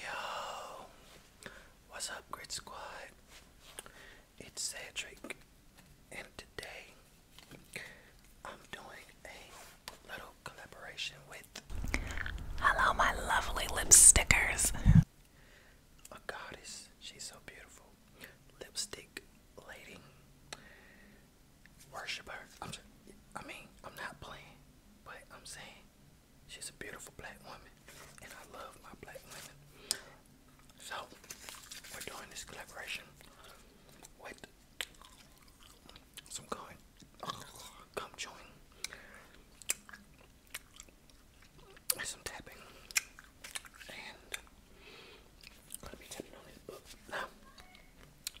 Yo, what's up, Grit Squad? It's Cedric, and today I'm doing a little collaboration with. Hello, my lovely lipstickers. A goddess, she's so beautiful. Lipstick lady, worshiper. i I mean, I'm not playing, but I'm saying She's a beautiful black woman, and I love my black women. So, we're doing this collaboration with some going gum chewing some tapping, and gonna be tapping on this book now.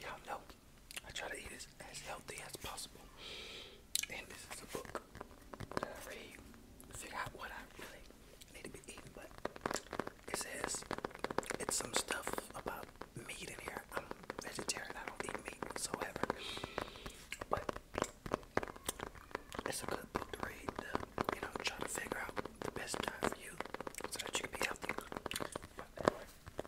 Y'all know I try to eat as, healthy as possible. And this is a book that I read to figure out what I really need to be eating. But it says it's some stuff about meat in here. I'm vegetarian. I don't eat meat whatsoever. But it's a good book to read. you know, try to figure out the best time for you so that you can be healthy. Let's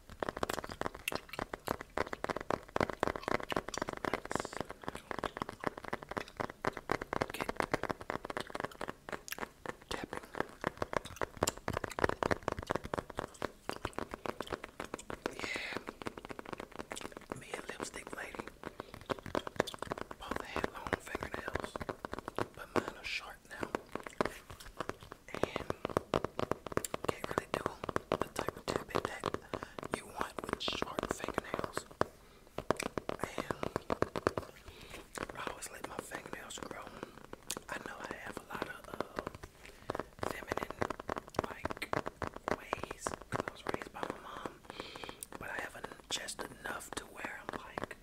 Yeah, me and lipstick lady both had long fingernails, but mine are short now and can't really the type of tapping that you want with short fingernails. And I always let my fingernails grow. I know I have a lot of um, feminine like ways I was raised by my mom, but I haven't just enough to wear. i like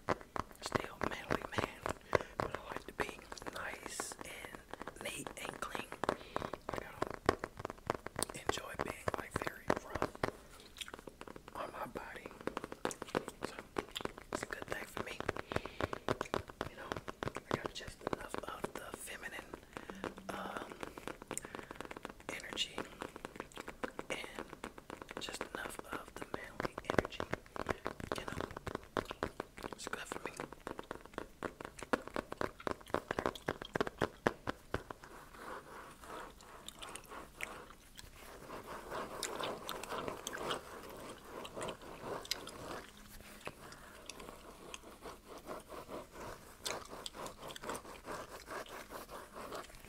still manly man, but I like to be nice and innate inkling I enjoy being like very rough on my body. So it's a good thing for me. You know, I got just enough of the feminine um, energy and just enough of the manly energy. it's good for me. Yeah,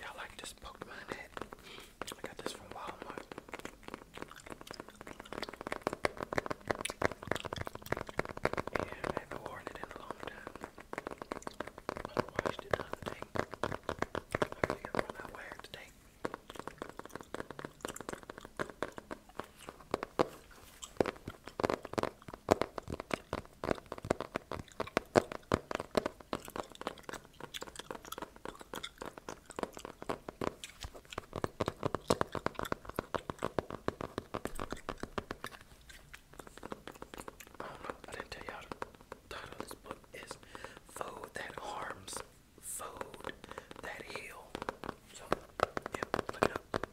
I like this Pokemon head. I got this from Walmart. And I haven't worn it in a long time. I washed it the other day. I figured why not wear it today. I didn't tell y'all the title of this book is Food That Harms, Food That Heal. So, yeah, look it up.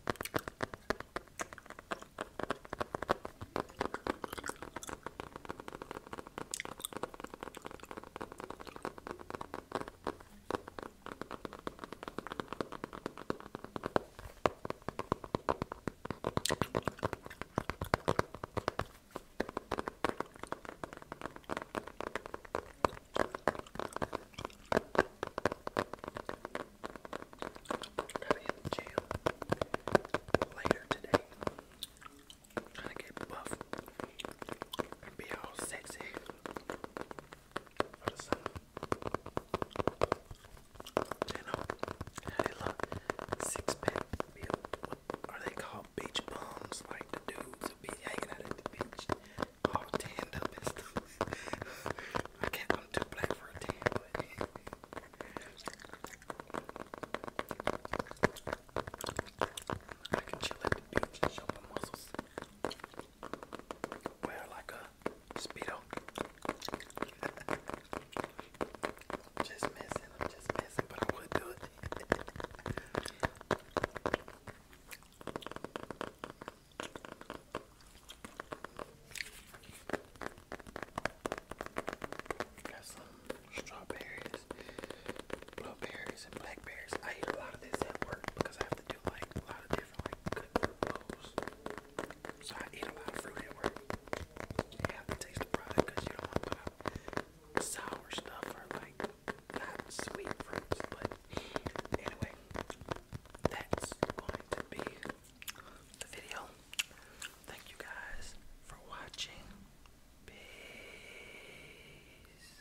Gotta get in jail later today. Trying to get buff and be all sexy. What is that? You I six pack are they called? Beach bums. Like the dudes who be hanging out at the beach, all tanned up I can't. I'm too black for a tan, but. I can chill at the beach and show muscles wear like a speedo. just messing, I'm just missing, but I would do Got some strawberries, berries blackberries. I eat a lot of this at work because I have to do like a lot of different good fruit bowls. So I eat a lot of fruit at work. You have to taste the product because you don't want sour stuff or like not sweet fruits. But anyway, that's going to be the video. Thank you guys for watching. Peace.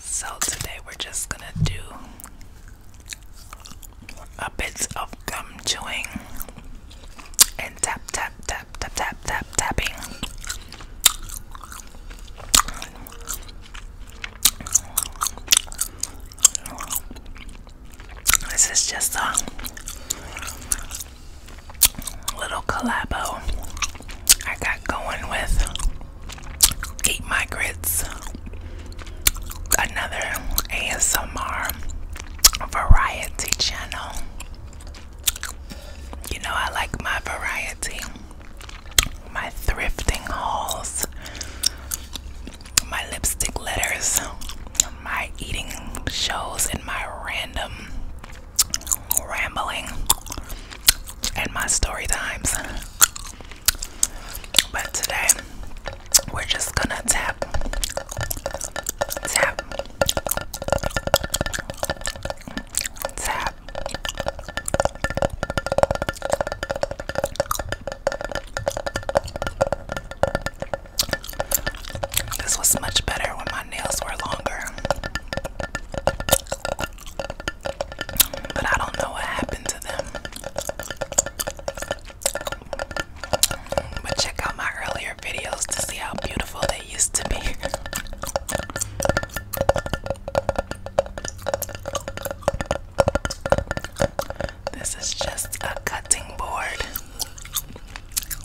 So today we're just gonna do a bit of gum chewing and tap tap tap tap tap tapping. This is just a little collabo I got going with Eat My Grits, another ASMR variety channel. You know, I like my variety, my thrifting hauls, my lipstick letters, my eating shows, and my random rambling and my story times. But today we're just gonna tap, tap, tap. This was much better when my nails were longer. But I don't know what happened to them. But check out my earlier videos to see how beautiful they used to be. This is just a cutting board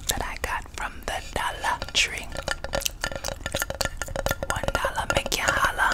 that I got from the dollar tree. One dollar make you holla.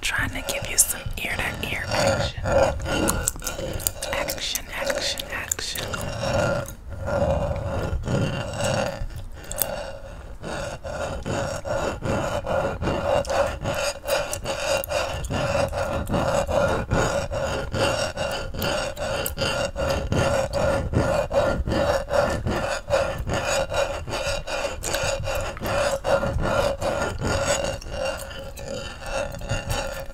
Trying to give you some some ear to ear action. Action, action, action.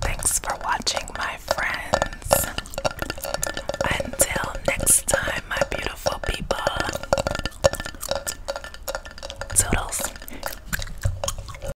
Thanks for watching, my friends. Until next time, my beautiful people. Toodles.